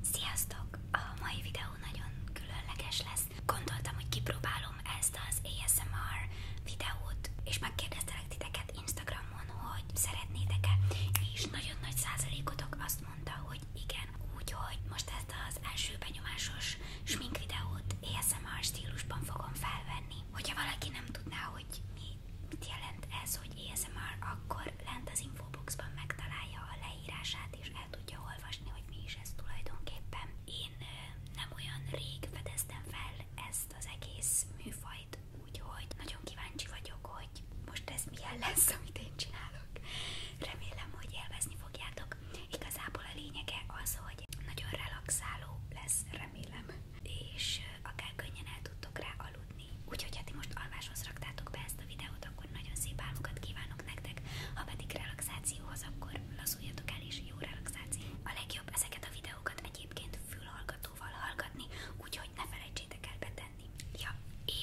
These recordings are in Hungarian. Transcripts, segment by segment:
Sziasztok! A mai videó nagyon különleges lesz. Gondoltam, hogy kipróbálom ezt az ASMR videót, és megkérdeztelek titeket Instagramon, hogy szeretnétek-e, és nagyon nagy százalékotok azt mondta, hogy igen. Úgyhogy most ezt az első benyomásos smink videót ASMR stílusban fogom felvenni. Hogyha valaki nem tudná, hogy mi mit jelent ez, hogy ASMR, akkor akkor lent az infoboxban megtalálja a leírását, és el tudja olvasni, hogy mi is ez tulajdonképpen. Én nem olyan rég fedeztem fel ezt az egész műfajt, úgyhogy nagyon kíváncsi vagyok, hogy most ez milyen lesz, amit én csinálok. Remélem, hogy élvezni fogjátok. Igazából a lényege az, hogy nagyon relaxáló lesz, remélem, és akár könnyen el tudtok rá aludni látni. Úgyhogy ha hát ti most alváshoz raktátok be ezt a videót, akkor nagyon szép álmokat kívánok nektek, ha pedig relaxációhoz, akkor lazuljatok el és jó relaxáció. A legjobb ezeket a videókat egyébként fülhallgatóval hallgatni, úgyhogy ne felejtsétek el betenni. Ja,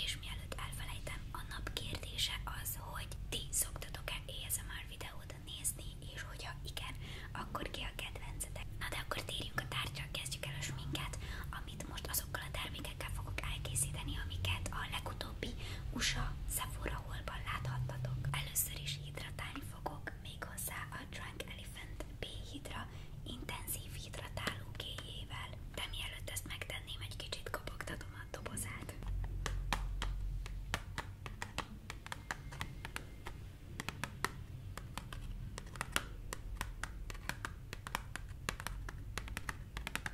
és mielőtt elfelejtem, a nap kérdése az, hogy ti szoktatok-e ASMR videót nézni, és hogyha igen, akkor ki a kedvencetek. Na de akkor térjünk a tárgyra, kezdjük el a sminket. A amit most azokkal a termékekkel fogok elkészíteni, amiket a legutóbbi USA Sephora holban láthattatok. Először is hidratálni fogok, méghozzá a Drunk Elephant B Hydra intenzív hidratáló kéjével. De mielőtt ezt megtenném, egy kicsit kopogtatom a dobozát.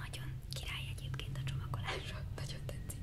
Nagyon király egyébként a csomagolása, nagyon tetszik.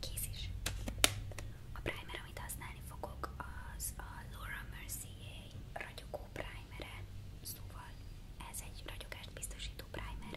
Kész is. A primer, amit használni fogok, az a Laura Mercier ragyogó primere, szóval ez egy ragyogást biztosító primer.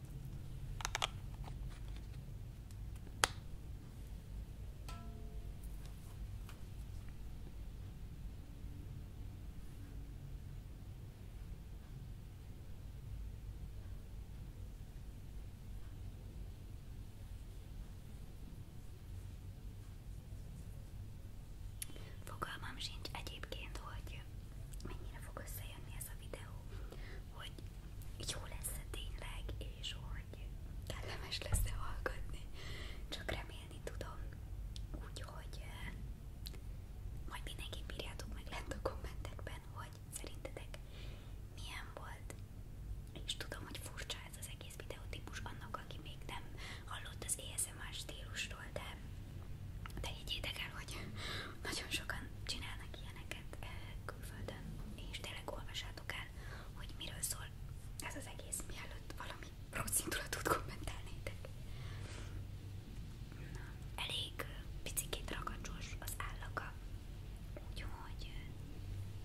Fogalmam sincs egyébként, hogy mennyire fog össze visszajönni ez a videó, hogy jó lesz -e tényleg, és hogy kellemes lesz-e hallgatni. Csak remélni tudom, úgyhogy majd mindenképp írjátok meg lent a kommentekben, hogy szerintetek milyen volt. És tudom, hogy furcsa ez az egész videótípus annak, aki még nem hallott az ASMR stílusról, de de, de így idegen, hogy nagyon sokan csinálnak ilyeneket eh, külföldön, és tényleg olvassátok el, hogy miről szól ez az egész, mielőtt valami rossz indulatot kommentálnétek. Na, elég eh, picikét ragacsos az állaga, úgyhogy eh,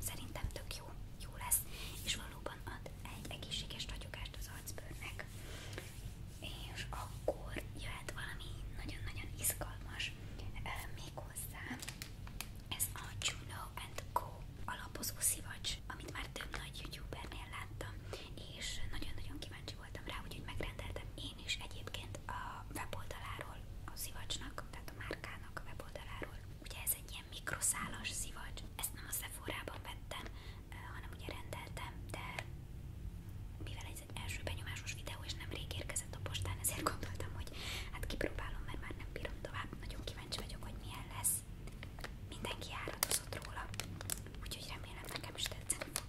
szerintem tök jó, jó lesz, és valóban ad egy egészséges ragyogást az arcbőrnek és akkor jöhet valami nagyon-nagyon izgalmas még hozzá. Ez a Juno and Co. alapozó szivacs, amit már több nagy youtubernél láttam, és nagyon-nagyon kíváncsi voltam rá, úgyhogy megrendeltem én is egyébként a weboldaláról, a szivacsnak, tehát a márkának a weboldaláról. Ugye ez egy ilyen mikroszálas szivacs, ezt nem a Sephora-ban vettem, hanem ugye rendeltem, de mivel ez egy első benyomásos videó, és nemrég érkezett a postán, ezért gondoltam, hogy hát kipróbálom, mert már nem bírom tovább. Nagyon kíváncsi vagyok, hogy milyen lesz. Mindenki áradozott róla, úgyhogy remélem nekem is tetszeni fog.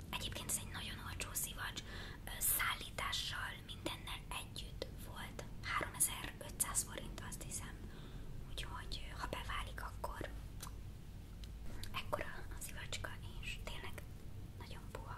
Egyébként ez egy nagyon olcsó szivacs, szállítással mindennel együtt volt 3500 forint, azt hiszem. Úgyhogy ha beválik, akkor ekkora a szivacska, és tényleg nagyon puha.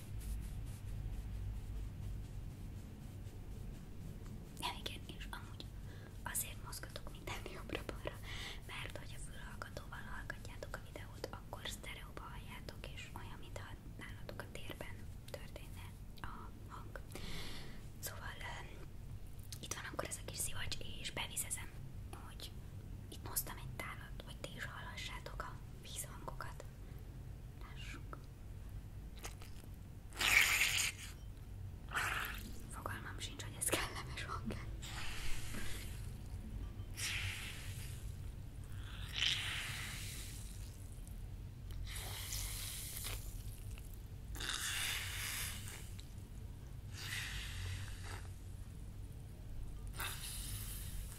Ja igen, és amúgy azért mozgatok minden mert hogy a fülhallgatóval hallgatjátok a videót, akkor sztereóba és olyan, mintha nálatok a térben történne a hang. Szóval itt van akkor ez a kis szivacs, és bevizezem, hogy itt moztam egy tálat, hogy ti is hallassátok a vízhangokat. Lássuk. Fogalmam sincs, hogy ez kellemes hang -e.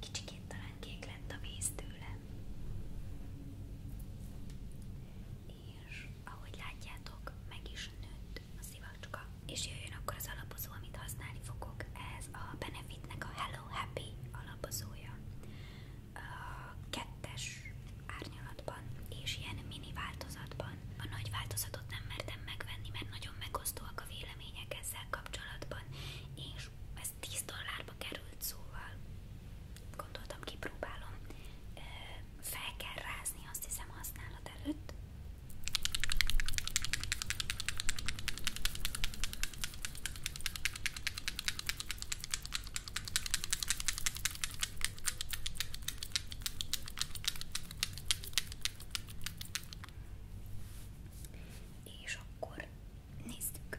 Kicsikét talán kék lett a víz tőle. És ahogy látjátok, meg is nőtt a szivacska. És jöjjön akkor az alapozó, amit használni fogok. Ez a Benefitnek a Hello Hello Happy alapozója kettes árnyalatban és ilyen mini változatban. A nagy változatot nem mertem megvenni, mert nagyon megosztóak a vélemények ezzel kapcsolatban, és ez 10 dollárba került, szóval gondoltam, kipróbálom. Fel kell rázni, azt hiszem, használat előtt. És akkor nézzük.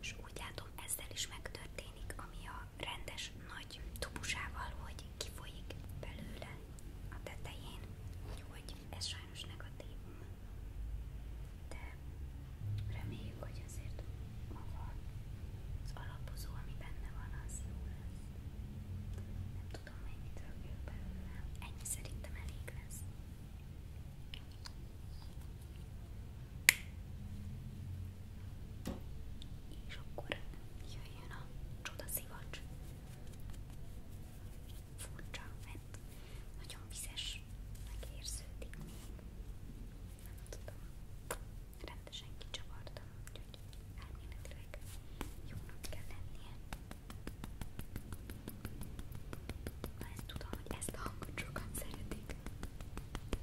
És úgy látom, ezzel is megtörténik, ami a rendes nagy tubusával, hogy kifolyik belőle a tetején. Úgyhogy ez sajnos negatívum. De Reméljük, hogy azért maga az alapozó, ami benne van, az jó lesz. Nem tudom, mennyit rakjuk belőle. Ennyi szerintem elég lesz. És akkor jöjjön a csodaszivacs. Furcsa, mert nagyon vizes, megérződik még. Nem tudom rendesen kicsavartam, úgyhogy elméletileg jónak kell lennie. Na ezt tudom, hogy ezt a hangot sokan szeretik. Jó,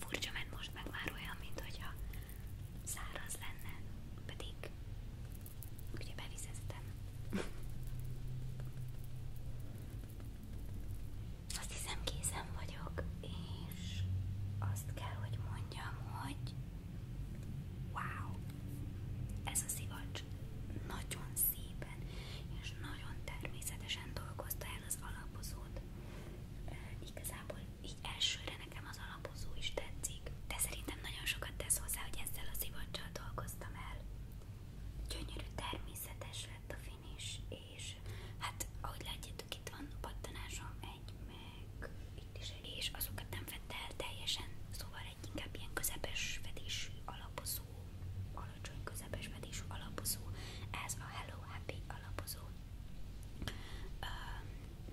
Furcsa, mert most meg már olyan, mint hogyha száraz lenne, pedig ugye bevizeztem. Azt hiszem készen vagyok, és azt kell, hogy mondjam, hogy wow, ez a szivacs nagyon szépen és nagyon természetesen dolgozta el az alapozót. E, igazából így elsőre nekem az alapozó is tetszik, de szerintem nagyon sokat tesz hozzá, hogy ezzel a szivacsal dolgoztam el. Gyönyörű természetes lett a finish, és hát, ahogy látjátok itt van pattanásom egy meg és azokat nem vette teljesen, szóval egy inkább ilyen közepes fedésű alapozó, alacsony közepes fedésű alapozó, ez a Hello Happy alapozó.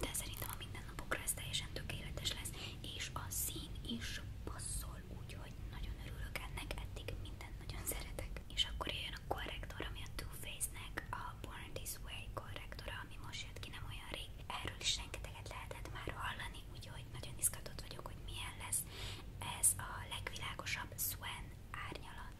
De szerintem a mindennapokra ez teljesen tökéletes lesz, és a szín is passzol, úgyhogy nagyon örülök ennek, eddig nagyon szeretek. És akkor jöjjön olyan a korrektor, ami a Too Faced-nek a Born This Way korrektora, ami most jött ki nem olyan rég. Erről is rengeteget lehetett már hallani, úgyhogy nagyon izgatott vagyok, hogy milyen lesz. Ez a legvilágosabb Swan árnyalat.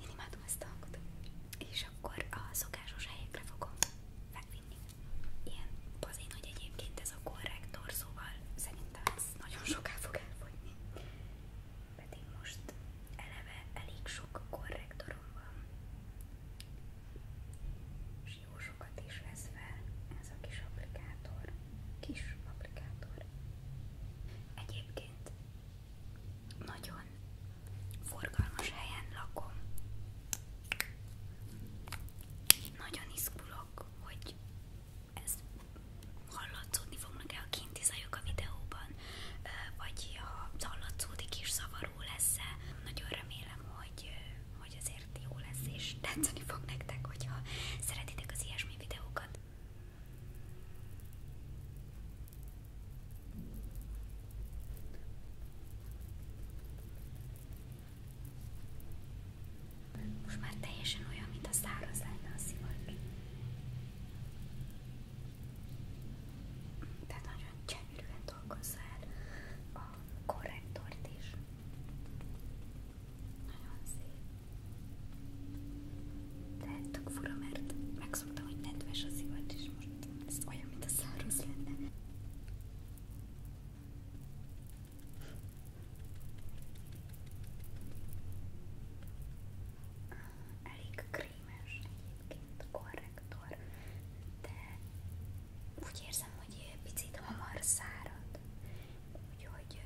Én imádom ezt a hangot. És akkor a szokásos helyekre fogom megvinni. Ilyen bazén, hogy egyébként ez a korrektor, szóval szerintem de ez nagyon soká fog elfogyni. Pedig most eleve elég sok korrektorom van, és jó sokat is vesz fel ez a kis applikátor. Kis applikátor. Egyébként nagyon forgalmas helyen lakom. Nagyon izgulok, hogy ez hallatszódni fognak el a kinti zajok a videóban, vagy ha hallatszódik is zavaró lesz -e. Nagyon remélem, hogy, hogy azért jó lesz és tetszeni fog nektek, hogyha szeretitek az ilyesmi videókat. Most már teljesen olyan, mint a száraz lenne a szivacs. Tehát nagyon gyönyörűen dolgozza el a korrektort is. Nagyon szép. De tök fura, mert megszoktam, hogy nedves a szivacs, és most ez olyan, mint a száraz lenne. Elég krémes egyébként korrektor, de úgy érzem, hogy picit hamar szárad, úgyhogy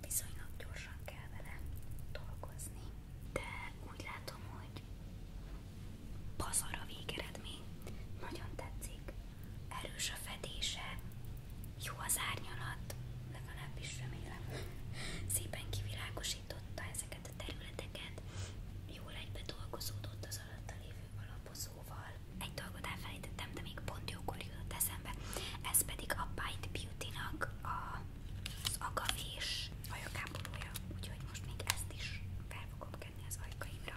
viszonylag gyorsan kell vele dolgozni. De úgy látom, hogy pazar a végeredmény, nagyon tetszik, erős a fedése, jó az árnyalat, legalábbis remélem. Szépen kivilágosította ezeket a területeket, jól egybe dolgozódott az alatta lévő alapozóval. Egy dolgot elfelejtettem, de még pont jókor jutott eszembe, ez pedig a Bite Beauty-nak a, az agavés ajakápolója, úgyhogy most még ezt is fel fogom kenni az ajkaimra.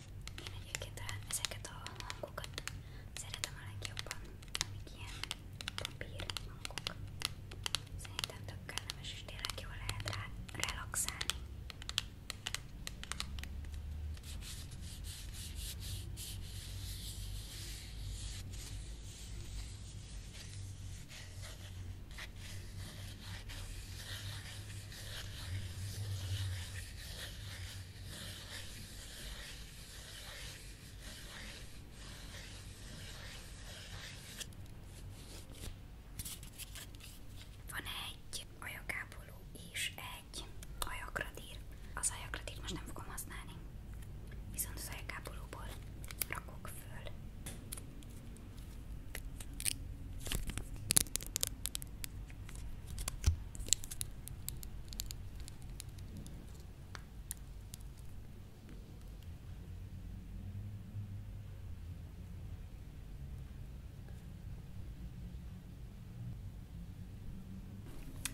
Én egyébként talán ezeket a hangokat szeretem a legjobban, amik ilyen papír hangok. Szerintem tök kellemes, és tényleg jól lehet rá relaxálni. Van egy ajakápoló és egy ajakradír. Az ajakradírt most nem fogom használni, viszont az ajakápolóból rakok föl.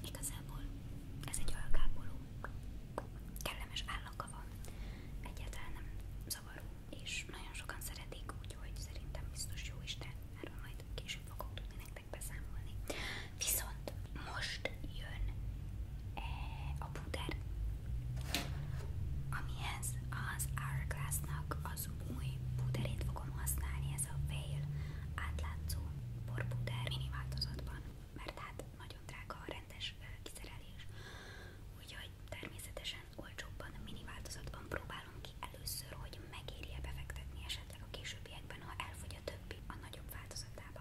Igazából ez egy alkápoló, kellemes állaka van, egyáltalán nem zavaró, és nagyon sokan szeretik, úgyhogy szerintem biztos jó is, de erről majd később fogok tudni nektek meg beszámolni. Viszont most jön eh, a puder, amihez az Hourglass-nak az új puderét fogom használni, ez a Veil átlátszó porpuder mini változatban, mert hát nagyon drága a rendes eh, kiszerelés, úgyhogy természetesen olcsóbban mini változatban próbálom próbálom ki először, hogy megéri-e befektetni esetleg a későbbiekben, ha elfogy a többi a nagyobb változatába.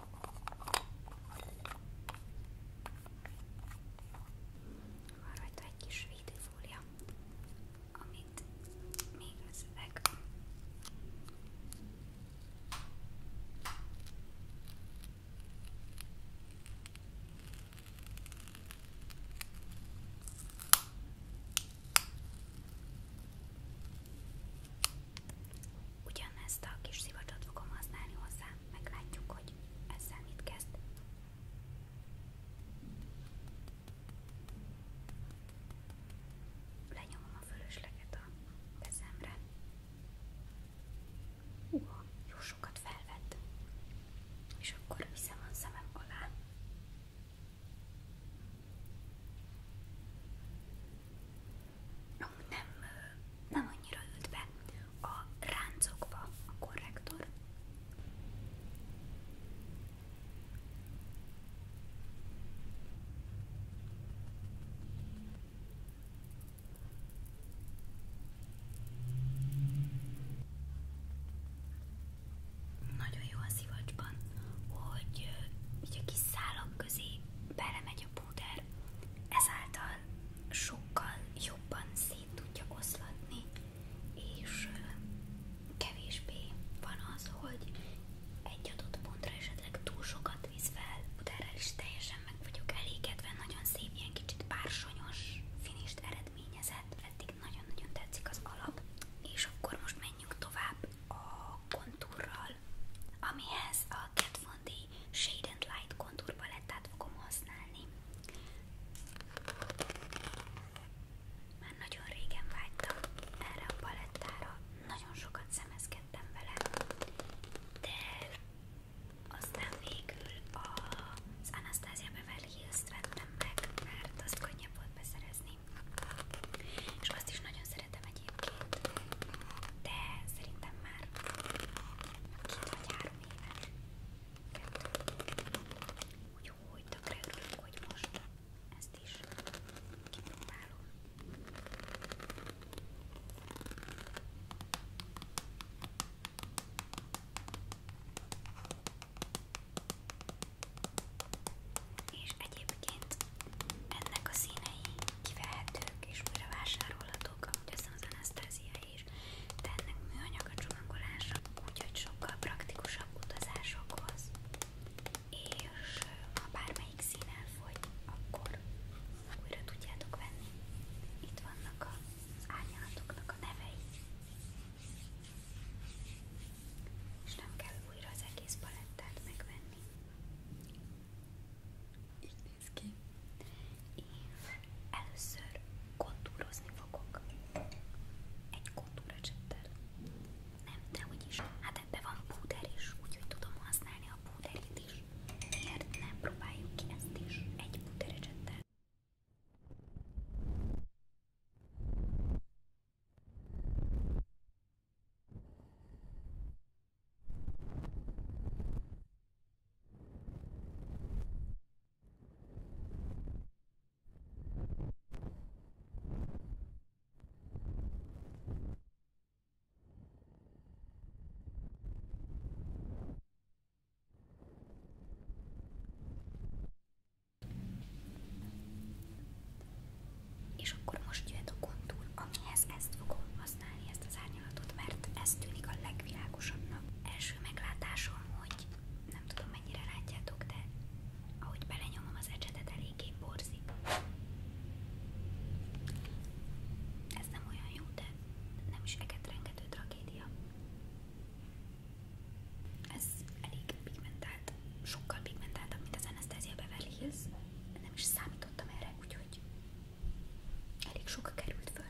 Van rajta egy kis védőfólia, amit még összevek. Ugyanezt a kis szivacsot fogom használni hozzá, meglátjuk, hogy ezzel mit kezd. Lenyomom a fölösleget a kezemre. Uha, jó sokat felvett. És akkor viszem a szemem alá amúgy nem, nem annyira ült be a ráncokba a korrektor. Nagyon jó a szivacsban, hogy így a kis belemegy nagyobb púder, ezáltal sokkal jobban szét tudja oszlatni, és kevésbé van az, hogy egy adott pontra esetleg túl sokat visz fel, púderrel is teljesen meg vagyok elégedve, nagyon szép, ilyen kicsit bársonyos finist eredményezett, eddig nagyon-nagyon tetszik az alap, és akkor most menjünk tovább a kontúrral, amihez a Kat Von Bondi Shade and Light kontur palettát fogom használni. Már nagyon régen vágytam erre a palettára, nagyon sokat szemezkedtem vele, de aztán végül az Anastasia Beverly Hills-t vettem meg, mert azt könnyebb volt beszerezni. És azt is nagyon szeretem egyébként, de szerintem már két vagy három éves, úgyhogy tökre örülök, hogy most ezt is kipróbálom. És egyébként ennek a színei kivehetők és újra vásárolhatók, amúgy azt az Anastasia is, de ennek műanyag a csomagolása, úgyhogy sokkal praktikusabb utazásokhoz, és ha bármelyik szín elfogy, akkor újra tudjátok venni. Itt vannak az árnyalatoknak a nevei. És nem kell újra az egész palettát megvenni. Így néz ki. És először kontúrozni fogok. Egy kontúrecsettel. Nem, de úgyis. Hát ebben van púder is, úgyhogy tudom használni a púderét is. Miért nem próbáljuk ki ezt is egy púderecsettel? És akkor most jöhet a kontúr, amihez ezt fogom használni használni ezt az árnyalatot, mert ez tűnik a legvilágosabbnak. Első meglátásom, hogy nem tudom mennyire látjátok, de ahogy belenyomom az ecsetet, eléggé borzik. Ez nem olyan jó, de nem is rengető tragédia. Ez elég pigmentált, sokkal pigmentáltabb, mint az Anastasia Beverly Hills. Nem is számítottam erre, úgyhogy Elég sok került föl.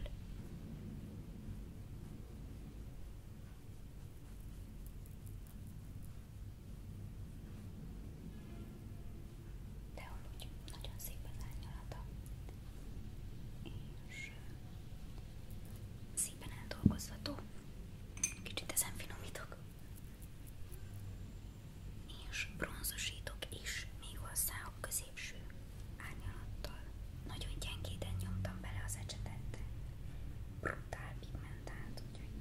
De amúgy nagyon szép az árnyalata. És szépen eldolgozható. Kicsit ezen finomítok és bronzosítok is még hozzá a középső árnyalattal. Nagyon gyengéden nyomtam bele az ecsetet. Brutál pigmentált, úgyhogy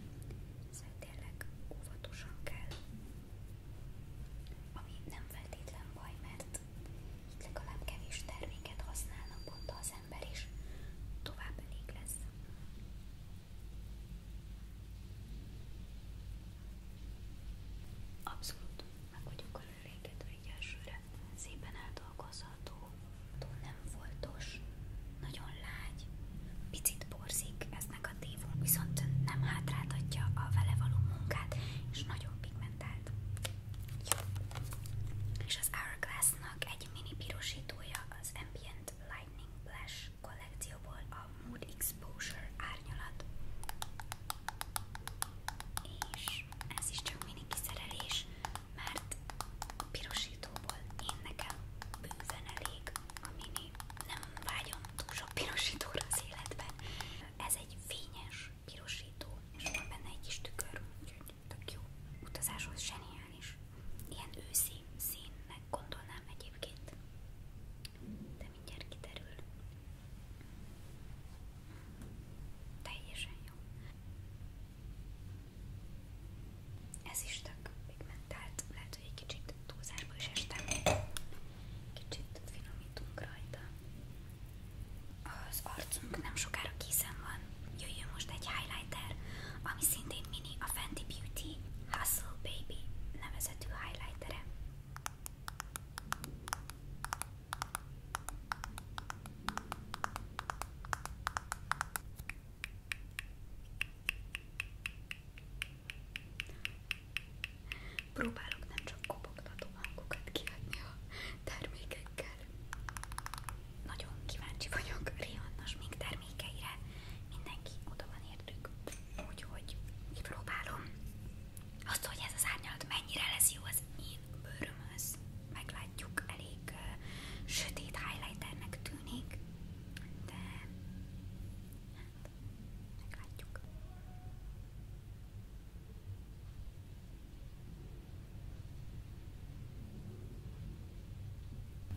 szóval tényleg óvatosan kell. Ami nem feltétlen baj, mert itt legalább kevés terméket használnak pont az ember, és tovább elég lesz. Abszolút meg vagyok elégedve így elsőre. Szépen eldolgozható, túl nem foltos, nagyon lágy, picit borzik eznek a tévunk, viszont nem hátráltatja a vele való munkát, és nagyon pigmentált. Jó. És az Hourglass-nak egy mini pirosítója az Ambient Lightning Blush kollekcióból a Mood Exposure árnyalat. És ez is csak mini kiszerelés, mert a pirosítóból én nekem bőven elég a mini. Nem vágyom túl sok pirosítóra az életben. Ez egy fényes pirosító, és van benne egy kis tükör, úgyhogy tök jó. Utazáshoz zseniális. Ilyen őszi színnek gondolnám egyébként de mindjárt kiderül. Teljesen jó. Ez is tök pigmentált, lehet, hogy egy kicsit túlzásba is estem. Kicsit finomítunk rajta. Az arcunk nem sokára készen van. Jöjjön most egy highlighter, ami szintén mini a Fenty Beauty Hustle Baby nevezetű highlightere. Próbálok nem csak kopogtató hangokat kiadni a termékekkel. Nagyon kíváncsi vagyok Rihannas még termékeire. Mindenki oda van értük úgyhogy kipróbálom azt, hogy ez az árnyalat mennyire lesz jó az én bőrömhöz. Meglátjuk, elég uh, sötét highlighternek tűnik, de hát, meglátjuk.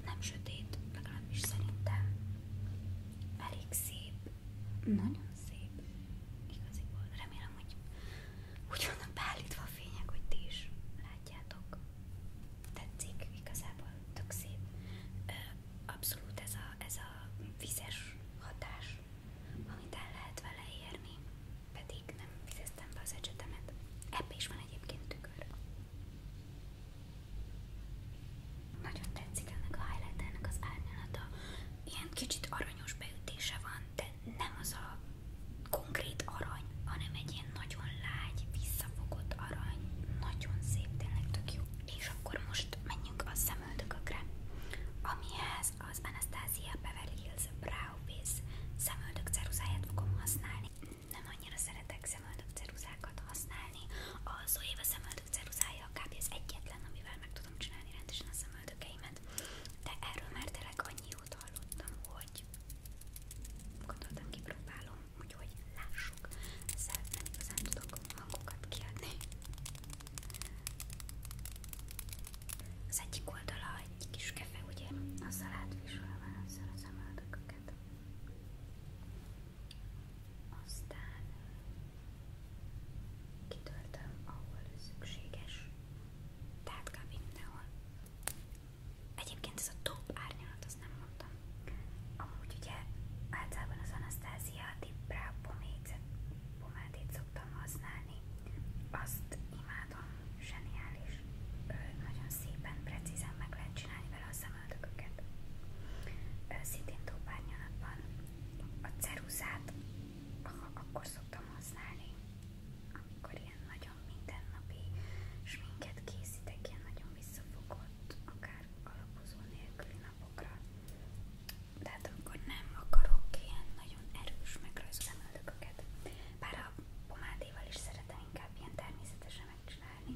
Nem sötét, legalábbis szerintem elég szép nagyon szép. Igaziból remélem, hogy úgy vannak beállítva a fények, hogy ti is látjátok. Tetszik, igazából tök szép. Abszolút ez a, ez a vizes hatás, amit el lehet vele érni, pedig nem vizeztem be az ecsetemet. Ebbe is van egyébként tükör. Nagyon tetszik ennek a highlight ennek az árnyalata. Ilyen kicsit aranyos beütése van, de nem az a konkrét arany, hanem egy ilyen nagyon lágy, visszafogott arany. Nagyon szép, tényleg tök jó. És akkor most menjünk a szemöldökökre, amihez az Anastasia Beverly Hills Brow Base szemöldök ceruzáját fogom használni. Nem annyira szeretek szemöldök ceruzákat használni, a Zoeva szemöldök ceruzája kb. az egyetlen, amivel meg tudom csinálni rendesen a szemöldökeimet, de erről már tényleg annyi jót hallottam, hogy gondoltam kipróbálom, úgyhogy lássuk, ezzel nem igazán tudok hangokat kiadni. Az egyik oldala egy kis kefe, ugye, azzal átviselve ezzel a szemöldököket aztán kitöltöm, ahol szükséges, tehát kb. mindenhol. Egyébként ez a top árnyalat, azt nem mondtam. Amúgy ugye általában az Anastasia Dibra pomádét szoktam használni. Azt imádom, zseniális. Nagyon szépen, precízen meg lehet csinálni vele a összemeltük őket. Szintén tópárnyalatban a ceruzát akkor szoktam használni, amikor ilyen nagyon mindennapi sminket készítek, ilyen nagyon visszafogott, akár alapozó nélküli napokra. Tehát amikor nem akarok ilyen nagyon erős megrajzolni öldököket. Bár a pomádéval is szeretem inkább ilyen természetesen megcsinálni,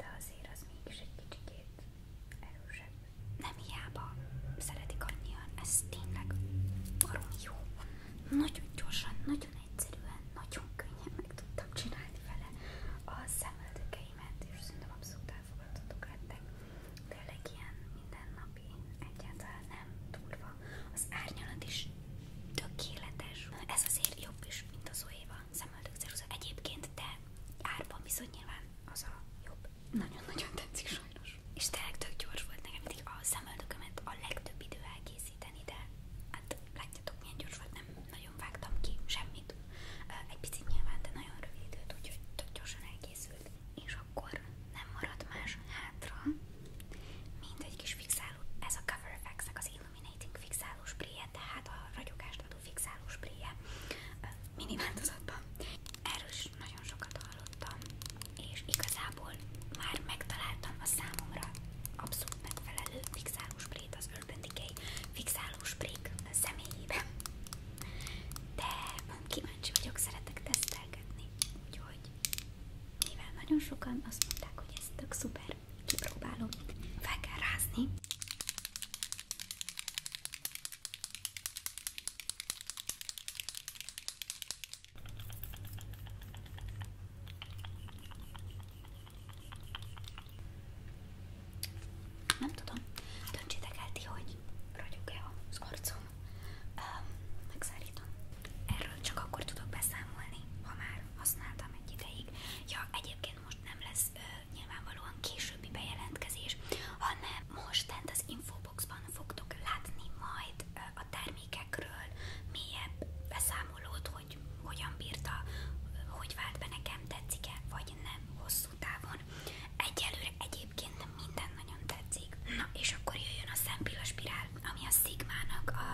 de azért az mégis egy kicsikét erősebb. Nem hiába szeretik annyian, ez tényleg baromi jó. Nagyon gyorsan, nagyon egyszerűen, nagyon könnyen meg tudtam csinálni vele a szemöldökeimet, és szerintem abszolút elfogadhatók lettek. Tényleg ilyen mindennapi, egyáltalán nem durva. Az árnyalat is tökéletes. Ez azért jobb is, mint az Zoeva szemöldökszerűző. Egyébként, de árban viszont nyilván az a jobb. Nagyon-nagyon tetszik sajnos. És tényleg tök gyors volt nekem, mindig a szemöldökömet a legtöbb idő elkészíteni, de hát látjátok milyen gyors volt, nem nagyon vágtam ki semmit. Egy picit nyilván, de nagyon rövid időt, úgyhogy tök gyorsan elkészült. És akkor nem maradt más hátra, mint egy kis fixáló. Ez a Cover Effects-nek az Illuminating fixáló spray hát a ragyogást hajlítható fixáló spréje mini változatban. Erről is nagyon sokat hallottam, és igazából már megtaláltam a számomra abszolút megfelelő fixáló sprét az Urban Decay fixáló sprék személyében. De kíváncsi vagyok, szeretek tesztelgetni, úgyhogy mivel nagyon sokan azt mondták, hogy ez tök szuper, kipróbálom, fel kell rázni. Nem tudom, döntsétek el ti, hogy ragyog-e az arcom, Erről csak akkor tudok beszámolni, ha már használtam egy ideig. Ja, egyébként nekünk most nem lesz nyilvánvalóan későbbi bejelentkezés, hanem most tehát az infoboxban fogtok látni majd a termékekről mélyebb beszámolót, hogy hogyan bírta, hogy vált nekem, tetszik-e vagy nem hosszú távon. Egyelőre egyébként minden nagyon tetszik. Na és akkor jöjjön a szempilla spirál, ami a Sigmának a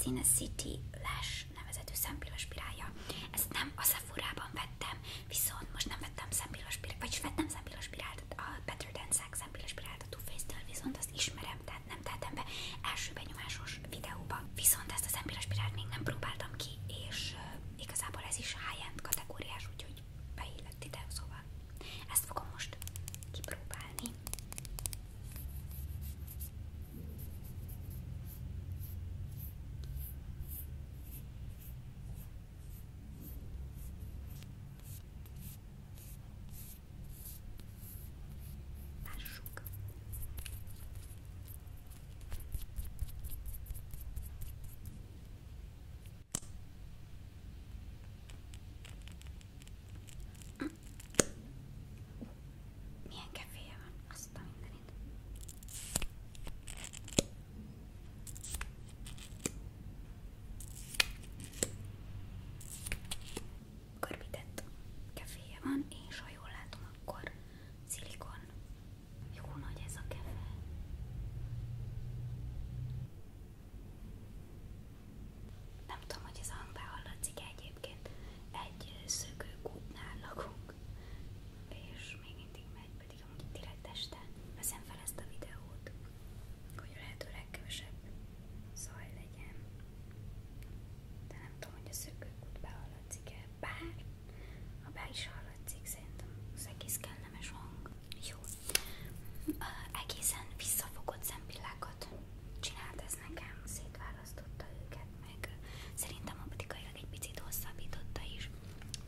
Cinecity Lash Piros nevezetű szempiros pirálja. Ezt nem a sephora vettem, viszont most nem vettem szempiros pirát. vagyis vettem szempiros pirát. a Better Than Sex szempillos pirált a Too Faced-től, viszont azt ismerem, tehát nem tettem be első benyomásos videóba. Viszont ezt a szempiros pirát még nem próbáltam ki, és uh, igazából ez is high-end kategóriás, úgyhogy beillett ide, szóval ezt fogom most kipróbálni. Lássuk. Milyen keféje van? Azt a minden. Körbített keféje van, és ha jól látom, akkor szilikon. Jó nagy ez a kefe. Nem tudom, hogy ez a hang behallatszik egyébként. Egy szökőkútnál lakunk, és még mindig megy, pedig amúgy direkt este veszem fel ezt a videót, hogy a lehető legkevesebb zaj legyen. De nem tudom, hogy a szökőkút behallatszik-e, bár ha be is hallatszik, szerintem az egész kellemes hang. Jó, egészen visszafogott szempillákat csinált ez nekem, szétválasztotta őket, meg szerintem a technikailag egy picit hosszabbította is,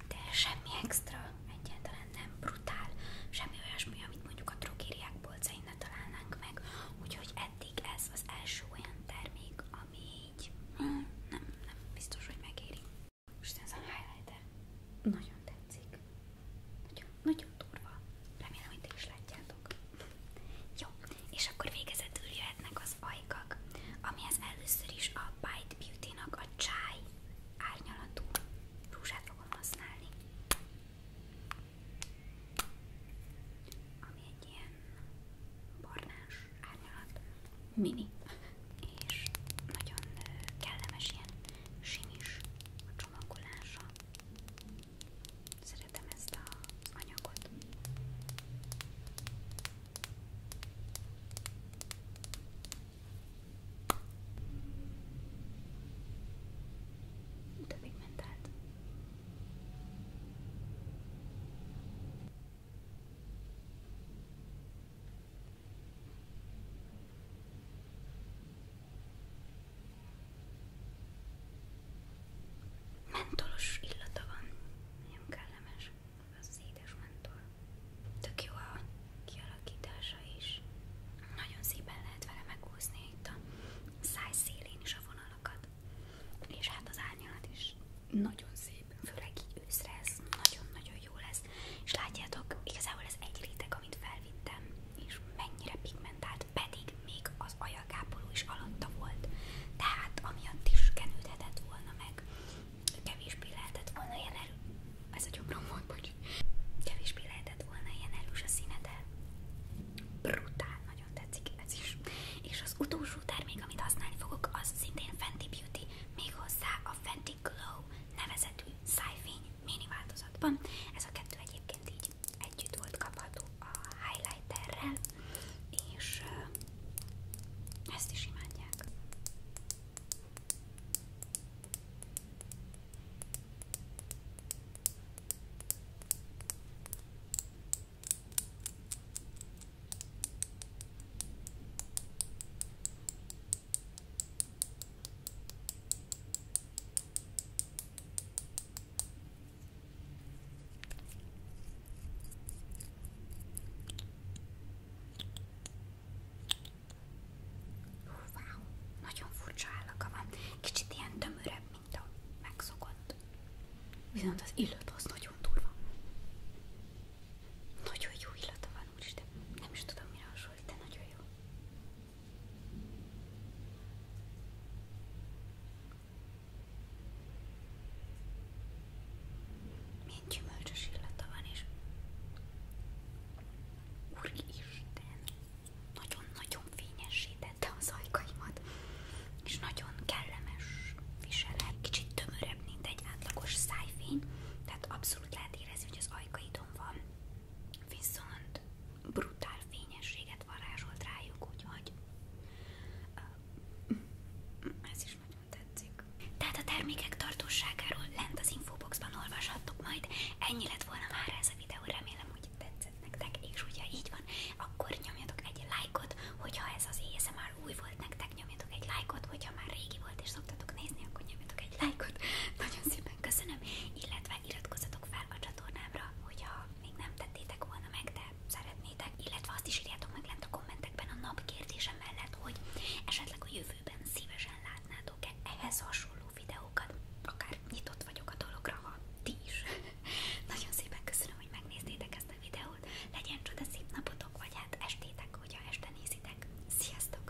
de semmi extra, egyáltalán nem brutál, semmi olyasmi, amit mondjuk a drogériák polcain ne találnánk meg, úgyhogy eddig ez az első olyan termék, ami így hmm, nem, nem biztos, hogy megéri. Most ez a highlighter nagyon tetszik. Nagyon, nagyon durva. Remélem, hogy ti is látjátok. Jó, és akkor végezetül jöhetnek az ajkak, amihez először is a Bite Beauty-nak a csáj árnyalatú rúzsát fogom használni. Ami egy ilyen barnás árnyalat, mini, és nagyon kellemes ilyen simis a csomagolása. Szeretem ezt az anyagot. De még ment át. Mentolos illata van, nagyon kellemes az édesmantól. Tök jó a kialakítása is. Nagyon szépen lehet vele megúszni itt a száj szélén is a vonalakat. És hát az árnyalat is nagyon szép, főleg így őszre ez nagyon-nagyon jó lesz. És látjátok, igazából ez egy réteg, amit felvittem, és mennyire pigmentált, pedig még az ajagápoló is alatta volt. Tehát amiatt is kenődhetett volna meg kevésbé lehetett volna ilyen erős, ez a jobbra volt, bocs, kevésbé lehetett volna ilyen erős a színete. Brutál, nagyon tetszik ez is. És az utolsó termék, amit használni fogok, az szintén Fenty Beauty, méghozzá a Fenty Glow nevezetű szájfény mini változatban. Ez a kettő egyébként együtt volt kapható a highlighterrel és ezt is imádják. Wow, nagyon furcsa állaka van. Kicsit ilyen tömörebb, mint a megszokott. Viszont az illat az nagyon durva. Nagyon jó illata van, úristen. Nem is tudom, mire hasonlít, de nagyon jó. Milyen gyümölcsös illata van, és Úristen, nagyon-nagyon fényesítette az ajkaimat, és nagyon kellemes viselet, kicsit tömörebb, mint egy átlagos szájfény, tehát abszolút lehet érezni, hogy az ajkaidon van, viszont brutál fényességet varázsolt rájuk, úgyhogy ez is meg tetszik. Tehát a termékek tartóságáról lent az infoboxban olvashattok majd. Ennyi lett volna már ez a videó, remélem, hogy tetszett nektek, és hogyha így van, akkor nyomjatok egy lájkot, hogyha ez az már új volt nektek, nyomjatok egy lájkot, hogyha már régi volt és szoktatok nézni, akkor nyomjatok egy lájkot. Nagyon szépen köszönöm, illetve iratkozzatok fel a csatornámra, hogyha még nem tettétek volna meg, de szeretném szeretnétek, illetve azt is írjátok meg lent a kommentekben a nap kérdése mellett, hogy esetleg a jövőben szívesen látnátok-e ehhez hasonló videókat. Akár nyitott vagyok a dologra, ha ti is. Nagyon szépen köszönöm, hogy megnéztétek ezt a videót. Legyen csoda szép napotok, vagy hát estétek, hogyha este nézitek. Sziasztok!